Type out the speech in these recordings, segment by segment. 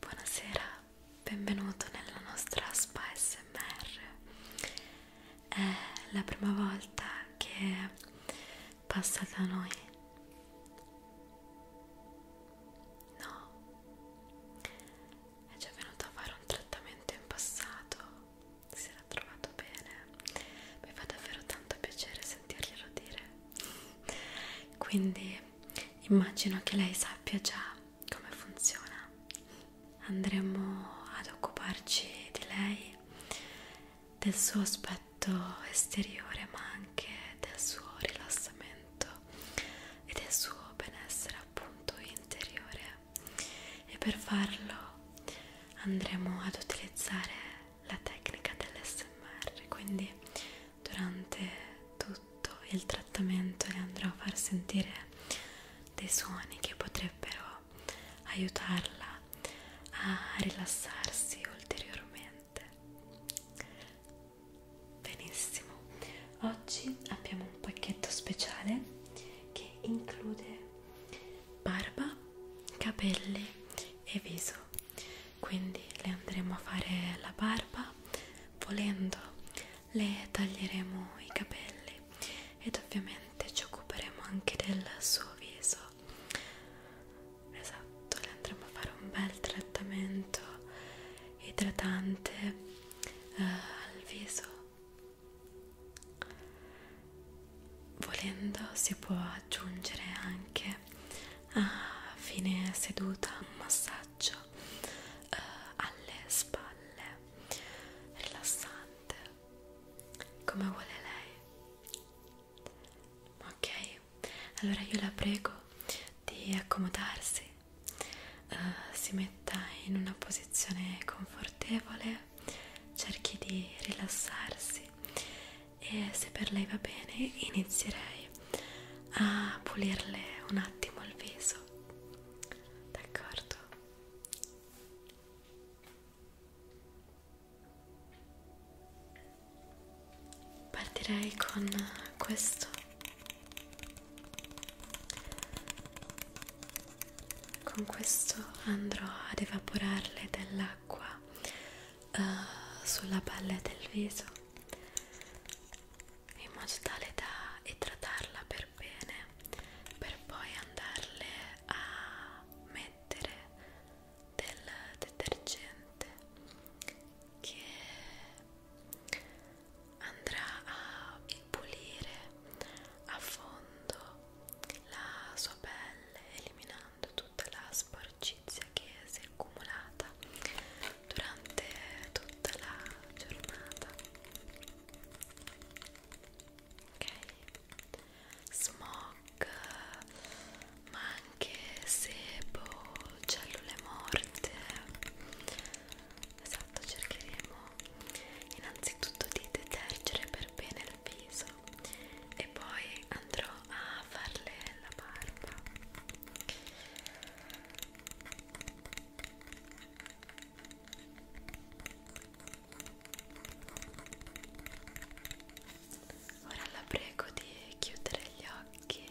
Buonasera, benvenuto nella nostra spa SMR. È la prima volta che passa da noi. No, è già venuto a fare un trattamento in passato. Si era ha trovato bene mi fa davvero tanto piacere sentirglielo dire quindi immagino che lei sappia già come funziona andremo ad occuparci di lei del suo aspetto esteriore ma anche del suo rilassamento e del suo benessere appunto interiore e per farlo andremo ad utilizzare la tecnica dell'SMR quindi durante tutto il trattamento le andrò a far sentire dei suoni che potrebbero aiutarla a rilassarsi ulteriormente benissimo oggi abbiamo un pacchetto speciale che include barba, capelli e viso quindi le andremo a fare la barba volendo le taglieremo i capelli ed ovviamente ci occuperemo anche del suo viso esatto le andremo a fare un bel trattamento idratante eh, al viso Volendo si può aggiungere anche a fine seduta un massaggio eh, alle spalle rilassante come vuole lei ok allora io la prego di accomodarsi eh, si metta in una posizione confortevole cerchi di rilassarsi e se per lei va bene inizierei a pulirle un attimo il viso d'accordo partirei con questo con questo andrò ad evaporarle dell'acqua uh, sulla palla del viso in modo tale da idratarla per bene per poi andarle a mettere del detergente che andrà a pulire a fondo la sua pelle eliminando tutta la sporcizia che si è accumulata durante tutta la giornata ok smog ma anche sebo cellule morte esatto cercheremo innanzitutto di detergere per bene il viso e poi andrò a farle la barba ora la prego di chiudere gli occhi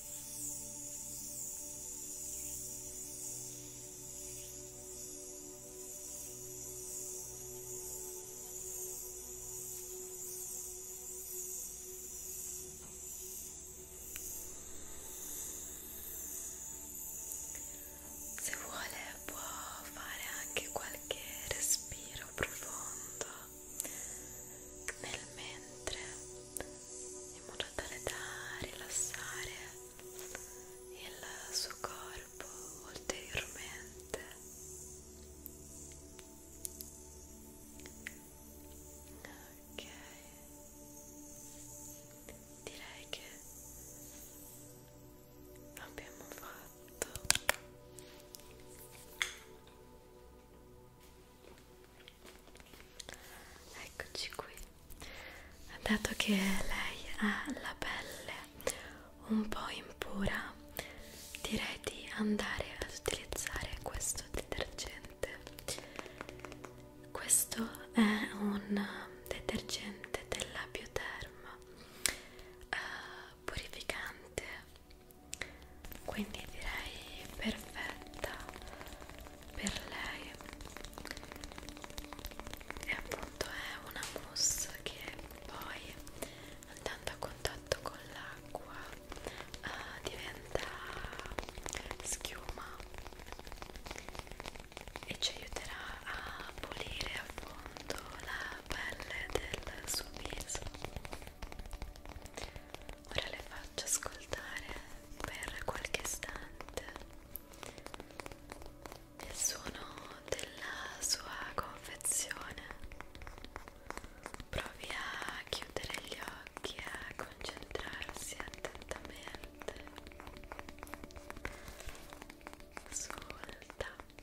Se vuole può fare anche qualche respiro profondo nel mentre in modo tale da rilassare il suo corpo ulteriormente ok direi che abbiamo fatto Eccoci qui. Dato che lei ha la pelle un po' impura, direi di andare ad utilizzare questo detergente. Questo è un detergente della Bioderm eh, purificante, quindi direi perfetta per lei e appunto è una mousse che poi andando a contatto con l'acqua uh, diventa schiuma e ci aiuterà a pulire a fondo la pelle del suo viso ora le faccio ascoltare per qualche istante il suono della sua confezione provi a chiudere gli occhi a concentrarsi attentamente sul tapping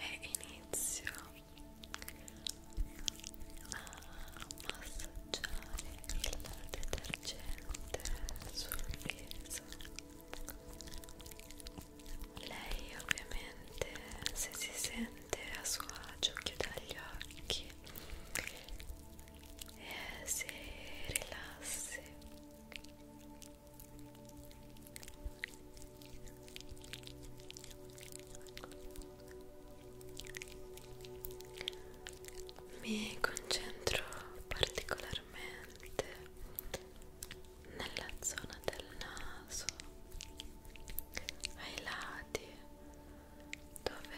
e inizio a massaggiare il detergente sul viso lei ovviamente se si sente a suo agio chiude gli occhi e si rilassi mi concentro particolarmente nella zona del naso, ai lati dove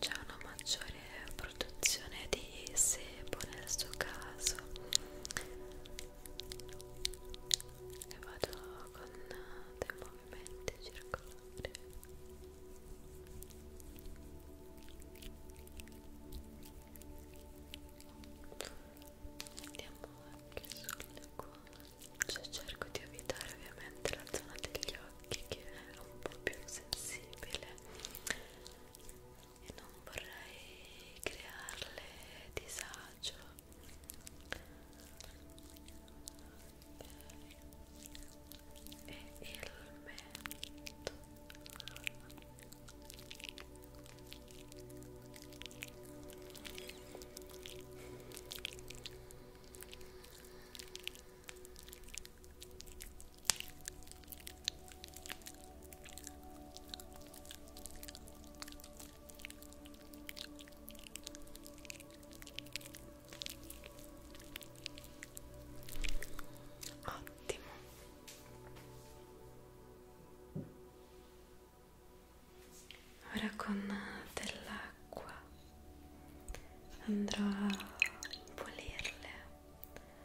c'è una maggiore migliore produzione di sebo nel suo caso e vado con dei movimenti circolari andiamo anche sulle guance cerco di evitare ovviamente la zona degli occhi che è un po' più sensibile e non vorrei crearle disagio e il mento Ottimo. Ora con dell'acqua andrò a pulirle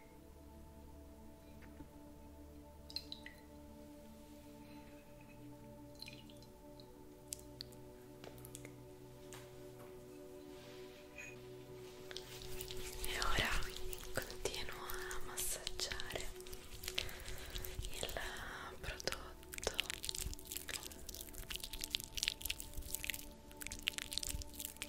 E ora continuo a massaggiare il prodotto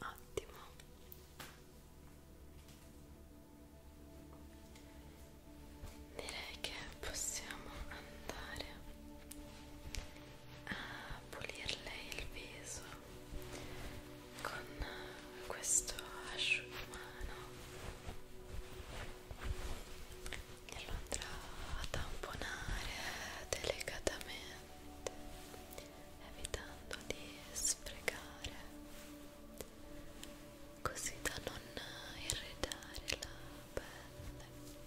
Ottimo. Direi che possiamo andare a pulirle il viso con questo asciugamano e lo andrà a tamponare delicatamente evitando di sfregare così da non irritare la pelle e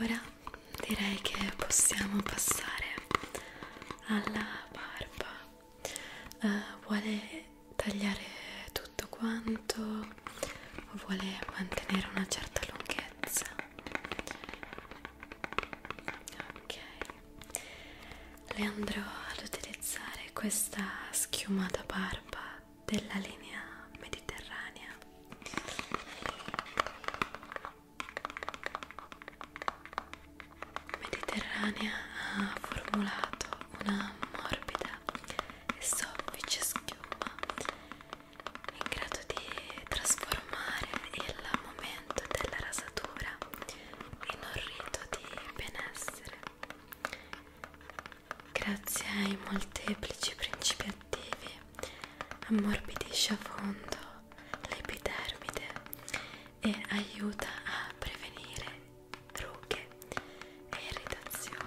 Ora direi che possiamo passare alla barba. Uh, vuole tagliare tutto quanto o vuole mantenere una certa lunghezza? Ok, le andrò ad utilizzare questa schiuma da barba della linea mediterranea Mediterranea ha formulato una morbida e soffice schiuma in grado di trasformare il momento della rasatura in un rito di benessere grazie ai molteplici principi attivi ammorbidisce a fondo l'epidermide e aiuta a prevenire rughe e irritazioni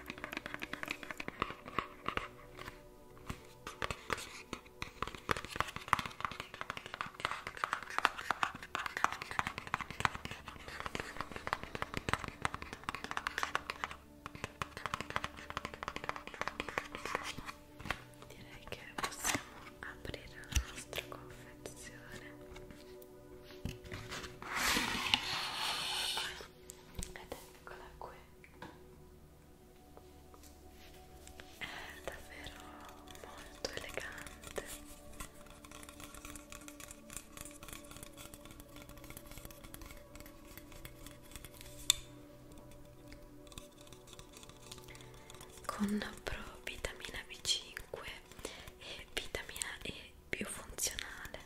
Direi che possiamo aprire la nostra confezione ed eccola qui è davvero molto elegante con pro vitamina B5 e vitamina E più funzionale Ottimo.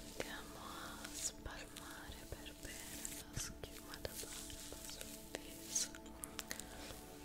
Andiamo a spalmare per bene la schiuma da barba sul viso. Ecco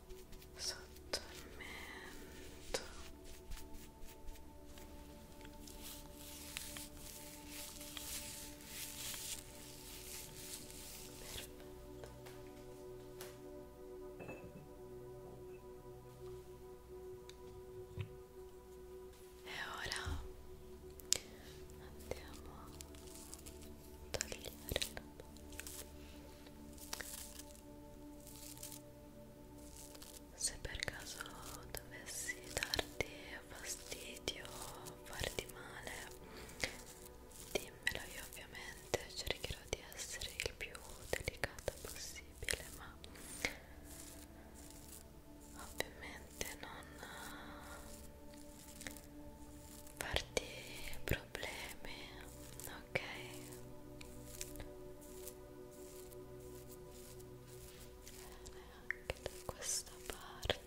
sotto il mento perfetto e ora andiamo a togliere la se per caso dovessi darti fastidio farti male dimmelo io ovviamente cercherò di essere il più delicata possibile ma ovviamente non farti problemi ok bene anche da questa parte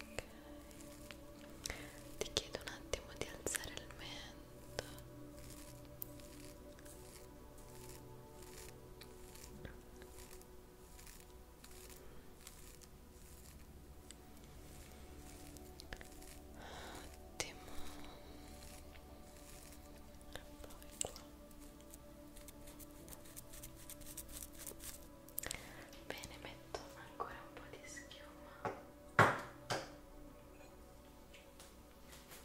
Okay. Ti chiedo un attimo di alzare il mento. Ottimo. Poi qua. Bene, metto ancora un po' di schiuma.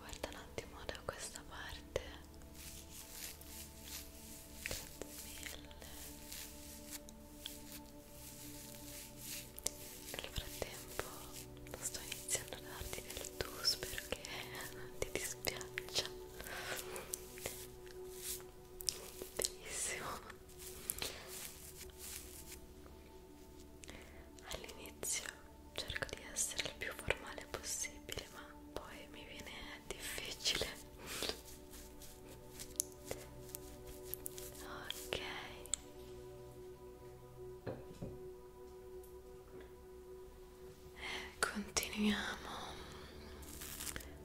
Guarda un attimo da questa parte. Grazie mille. Nel frattempo sto iniziando a darti del tu, spero che non ti dispiaccia benissimo all'inizio cerco di essere il più formale possibile ma poi mi viene difficile ok e eh, continuiamo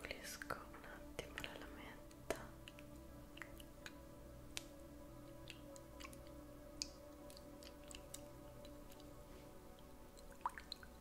pulisco un attimo la lametta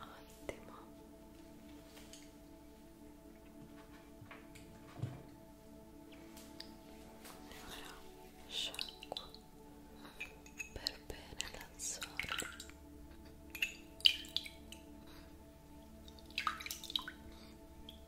Ottimo. E ora sciacquo per bene la zona. Ecco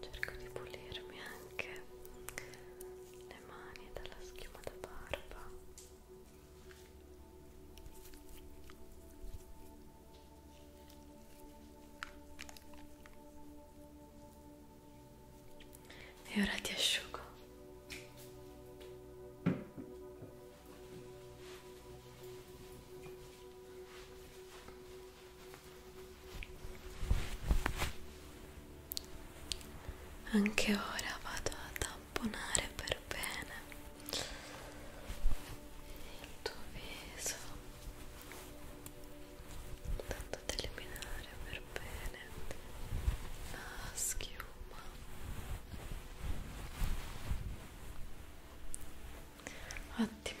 cerco di pulirmi anche le mani dalla schiuma da barba e ora ti asciugo anche ora vado a tamponare per bene il tuo viso, tanto ad eliminare per bene la schiuma. Ottimo.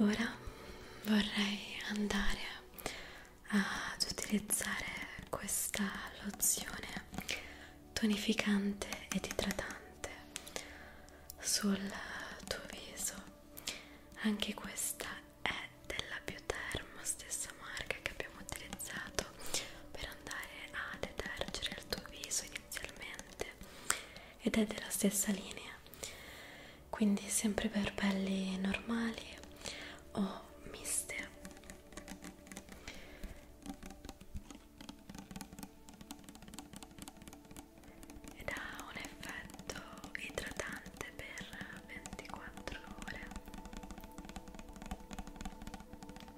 Ora vorrei andare ad utilizzare questa lozione tonificante ed idratante sul tuo viso. Anche questa è della Bioterm, stessa marca che abbiamo utilizzato per per andare a detergere il tuo viso inizialmente ed è della stessa linea quindi sempre per pelli normali o miste ed ha un effetto idratante per 24 ore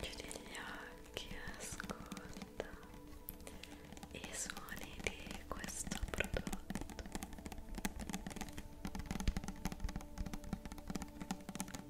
Chiudi gli occhi, ascolta i suoni di questo prodotto.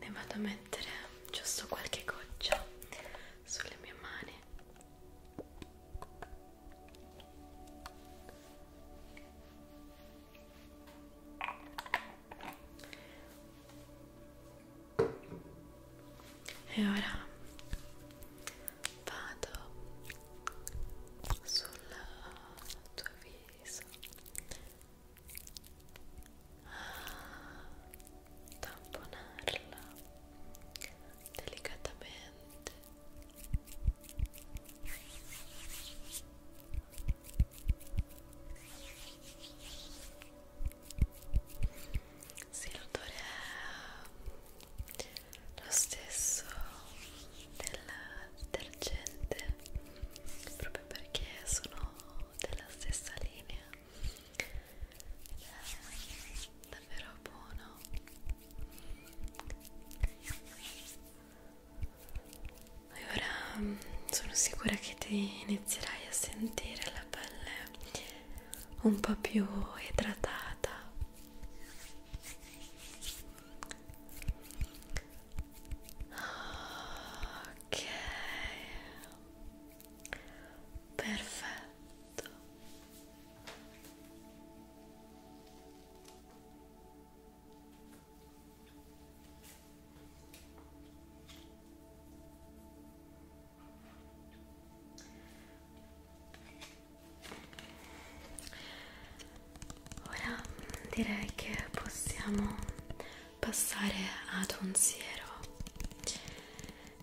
Ne vado a mettere giusto qualche goccia sulle mie mani. E ora vado sul tuo viso. Ah, tamponarla delicatamente sì, l'odore è lo stesso del detergente proprio perché sono della stessa linea ed è davvero buono e ora mm, sono sicura che ti inizierai a sentire la pelle un po' più idratata ok perfetto Ora direi che possiamo passare ad un siero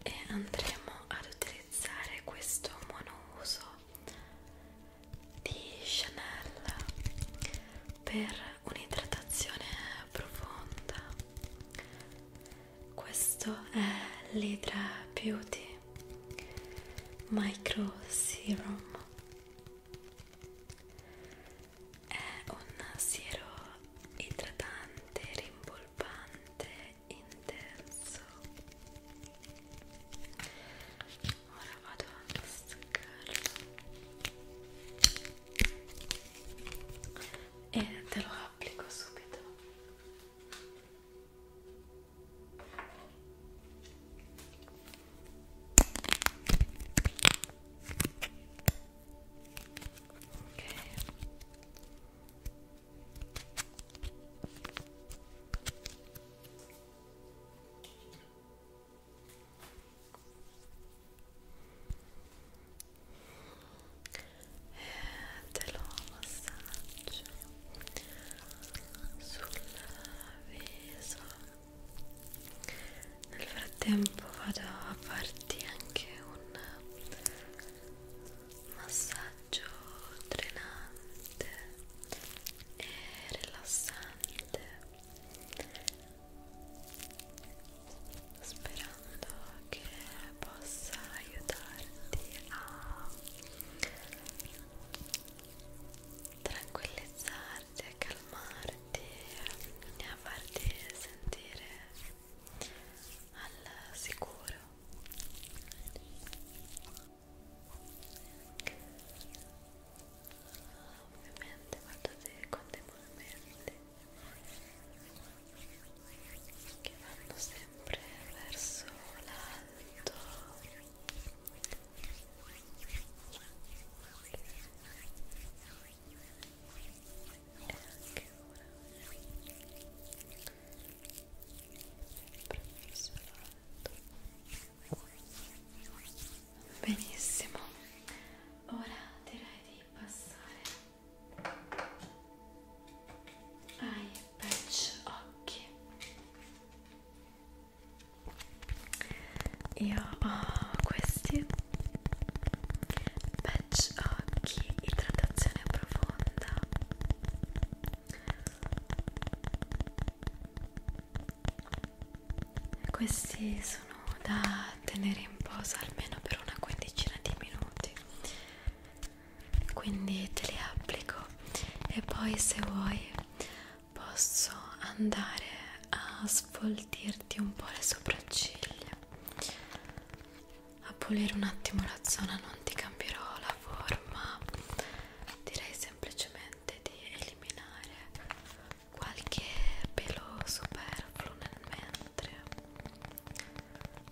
e andremo ad utilizzare questo monouso di Chanel per un'idratazione profonda questo è l'Hydra Beauty Micro Serum è un siero idratante, rimpolpante, intenso ora vado anche a staccarlo e te lo applico subito ok ok e eh, te lo massaggio sul viso nel frattempo vado a farti anche un massaggio drenante e rilassante sperando che possa aiutarti a tranquillizzarti, a calmarti e a farti sentire al sicuro Obviamente cuando te continuamente quedando siempre verso alto Siempre verso alto Benissimo, ora direi di passare ai patch occhi. Io ho questi patch occhi, idratazione profonda questi sono da tenere in posa almeno per una quindicina di minuti. Quindi te li applico e poi se vuoi posso andare a sfoltirti un po' le sopracciglia, a pulire un attimo la zona, non ti cambierò la forma direi semplicemente di eliminare qualche pelo superfluo nel mentre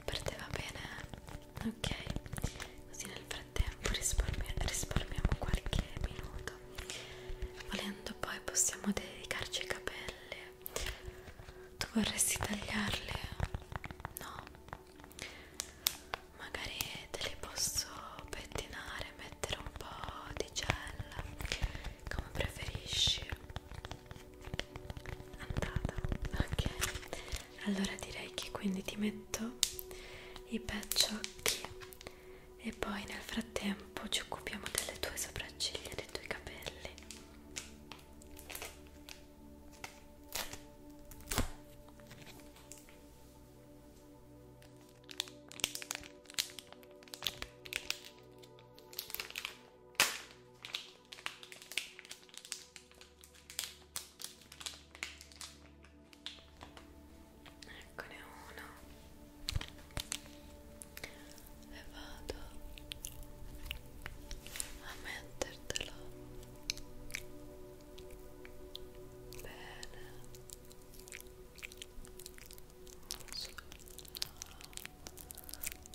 per te va bene? ok così nel frattempo risparmi risparmiamo qualche minuto volendo poi possiamo dedicarci ai capelli tu vorresti tagliarli? no? magari te li posso pettinare, mettere un po' di gel, come preferisci. Andata, ok. Allora direi che quindi ti metto i paciocchi e poi nel frattempo ci occupiamo delle tue sopracciglia e dei tuoi capelli. Eccone uno e vado a mettertelo bene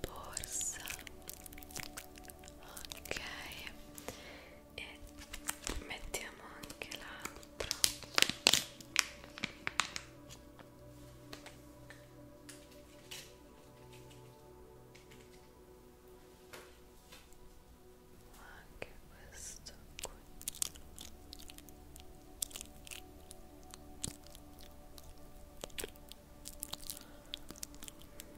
borsa ok e mettiamo anche l'altro ok ma anche questo qui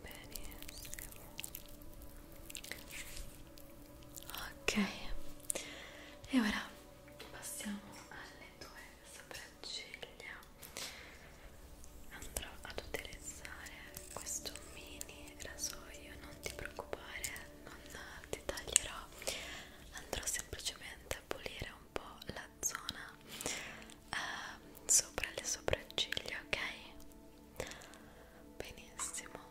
benissimo ok e ora passiamo alle tue sopracciglia andrò ad utilizzare questo mini rasoio non ti preoccupare non dettaglierò andrò semplicemente a pulire un po' la zona eh, sopra le sopracciglia ok? benissimo ok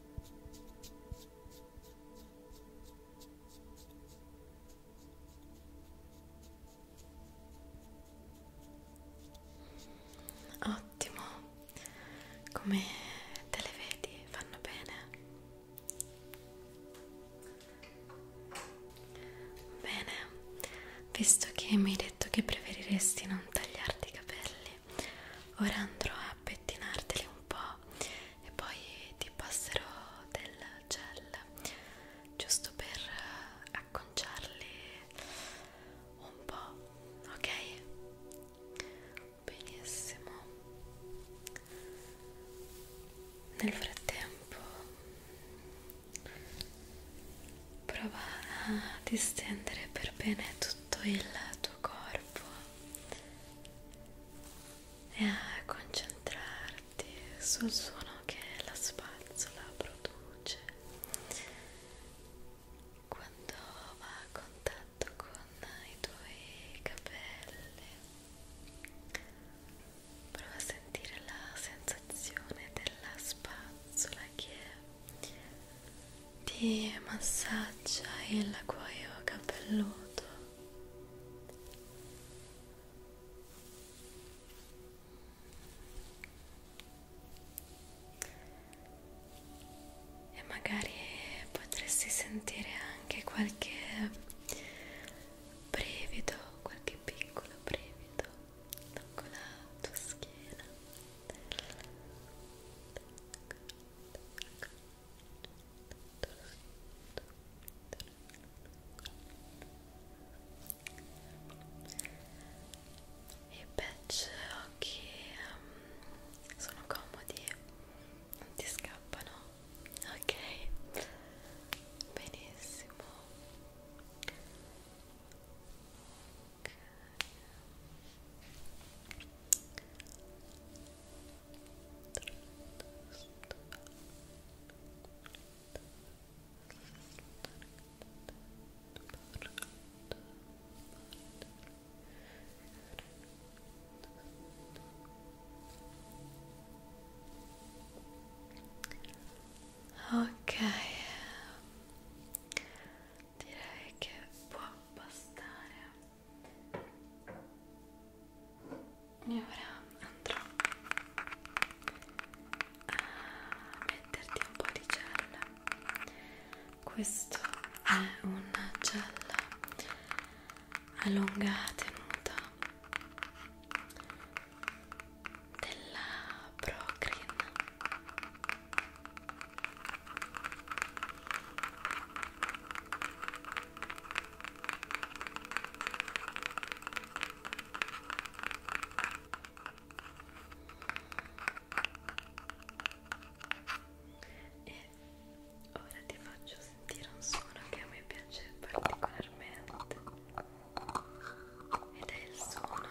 Ottimo, come te le vedi, fanno bene. Bene, visto che mi hai detto che preferiresti non tagliarti i capelli, ora andrò a pettinarteli un po' e poi ti passerò del gel giusto per acconciarli un po' ok? benissimo nel frattempo prova a distendere per bene tutto il tuo corpo e a concentrarti sul suono che la spazzola produce quando va a contatto con i tuoi capelli prova a sentire la sensazione della spazzola che ti massaggia il cuoio capelluto e magari potresti sentire anche qualche brivido, qualche piccolo brivido lungo la tua schiena. Ecco i patch occhi um, sono comodi non ti scappano ok benissimo Ok, direi che può bastare e ora andrò a metterti un po' di gel questo è un gel a lunga tenuta della Procrin e ora ti faccio sentire un suono che a me piace particolarmente ed è il suono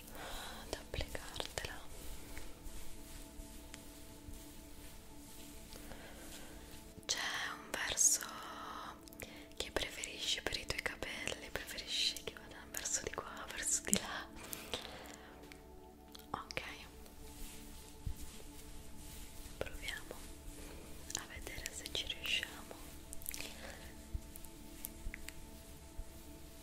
ad applicartela c'è un verso che preferisci per i tuoi capelli preferisci che vada verso di qua verso di là ok proviamo a vedere se ci riusciamo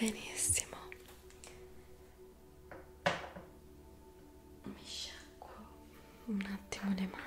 Ehm, benissimo. Mi sciacquo un attimo le mani.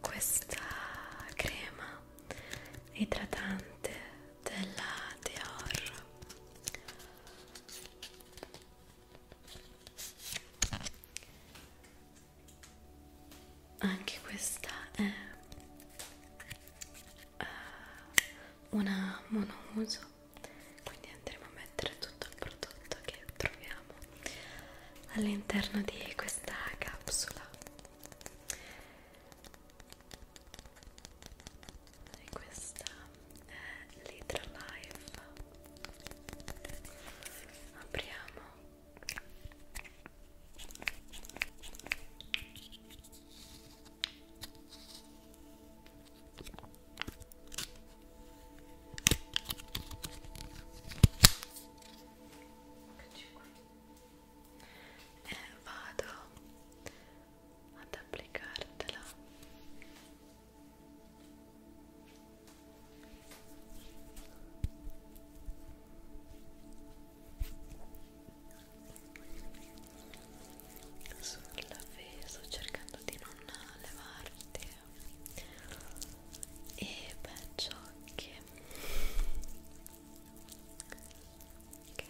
questa crema idratante della Dior anche questa è eh, una monouso quindi andremo a mettere tutto il prodotto che troviamo troviamo all'interno di questa capsula e questa è l'Hydra Life apriamo Eccoci qua. E vado ad applicartela sull'avviso cercando di non levarti eh e penso che ok ok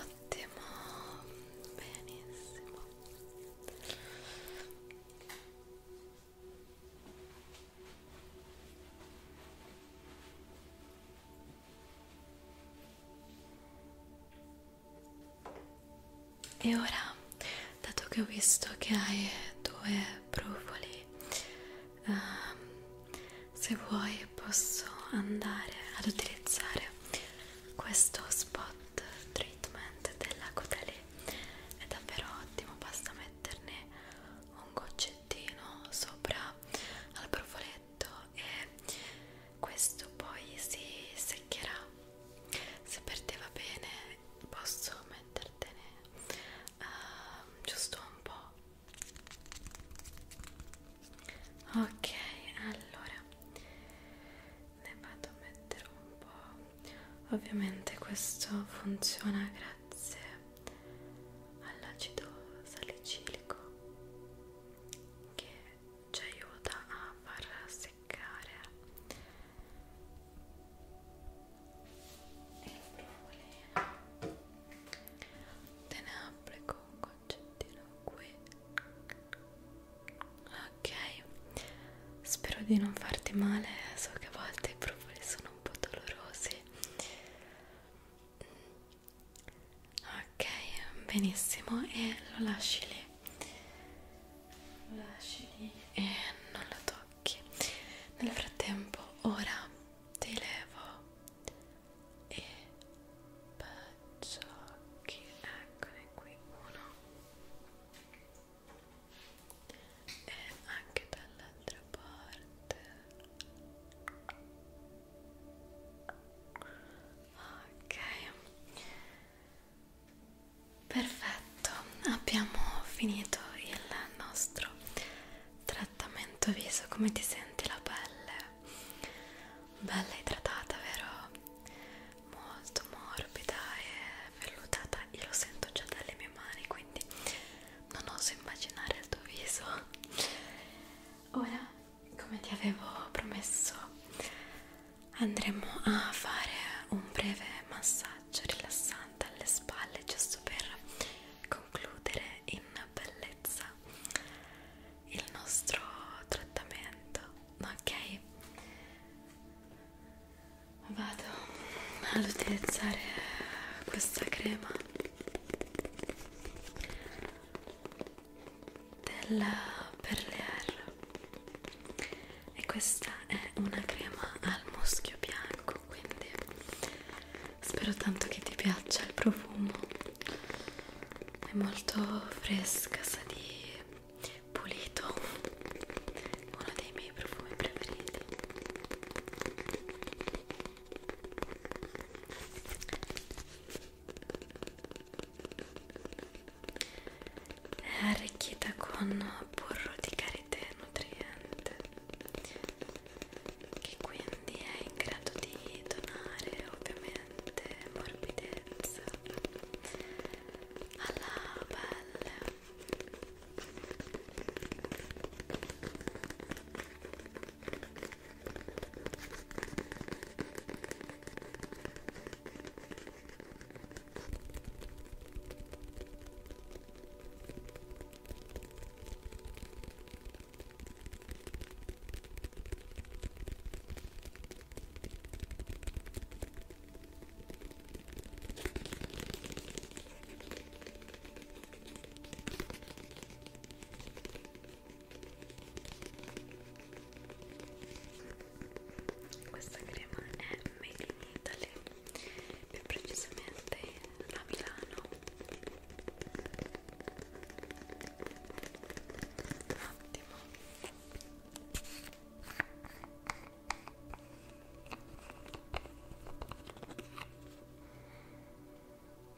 Ottimo, benissimo. E ora, dato che ho visto che hai due brufoli uh, se vuoi posso andare ad utilizzare questo spot treatment della Caudalie è davvero ottimo basta metterne un goccettino sopra al brufoletto e questo poi si seccherà se per te va bene posso mettertene uh, giusto un po' ok allora ne vado a mettere un po' ovviamente questo funziona grazie all'acido salicilico che ci aiuta a far seccare e la brufolina te ne applico un concettino qui ok spero di non farti male so che a volte i brufoli sono un po' dolorosi ok benissimo e lo lasci lì lo lasci lì e non lo tocchi nel frattempo ora ti levo e baciocchi eccone qui uno e anche dall'altra parte ok perfetto abbiamo finito il nostro trattamento viso, come ti senti la pelle? Bella idratata, vero? Molto morbida e vellutata. Io lo sento già dalle mie mani, quindi non oso immaginare il tuo viso. Ora, come ti avevo promesso, andremo a fare un breve massaggio rilassante alle spalle, giusto per concludere in bellezza il nostro trattamento ok vado ad utilizzare questa crema della Perlear e questa è una crema al muschio bianco quindi spero tanto che ti piaccia il profumo è molto fresca sa di pulito uno dei miei profumi preferiti è arricchita con burro di karité nutriente che quindi è in grado di donare ovviamente morbidezza alla pelle questa crema è Made in Italy, più precisamente a Milano un attimo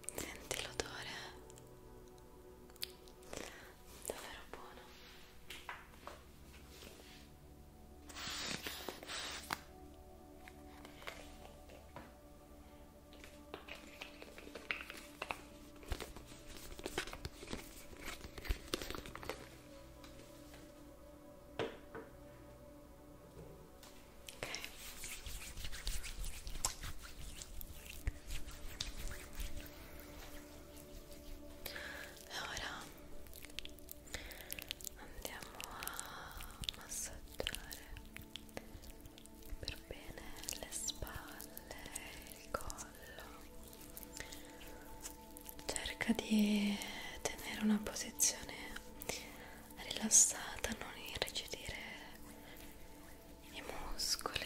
senti l'odore davvero buono e ora andiamo a massaggiare per bene le spalle, il collo. Cerca di tenere una posizione rilassata, non irrigidire i muscoli.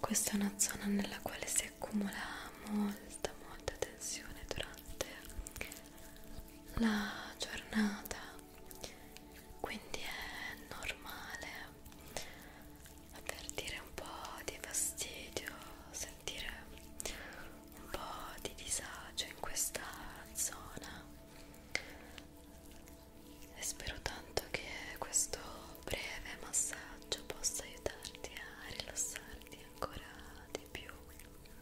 Questa è una zona nella quale si accumula molta molta tensione durante la giornata quindi è normale avvertire un po' di fastidio sentire un po' di disagio in questa zona e spero tanto che questo breve massaggio possa aiutarti a rilassarti ancora di più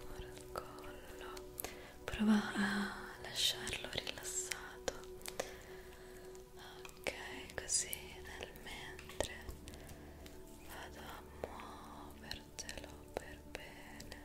Ora il collo, prova a lasciarlo rilassato. Ok, così nel mentre vado a muovertelo per bene.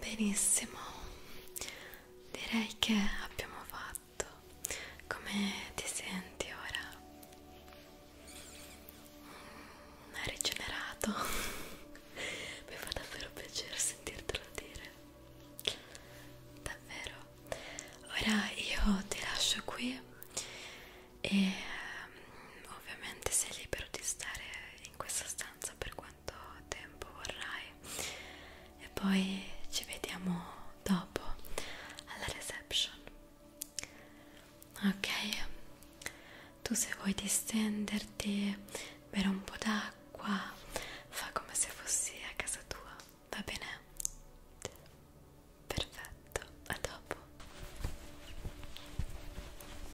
Benissimo, direi che abbiamo fatto. Come ti senti ora? Mm, hai rigenerato? Mi fa davvero piacere sentirtelo dire. Davvero. Ora io ti lascio qui e um, ovviamente sei libero di stare in questa stanza per quanto tempo vorrai e poi ci vediamo dopo alla reception ok tu se vuoi distenderti bere un po' d'acqua fa come se fossi a casa tua va bene perfetto a dopo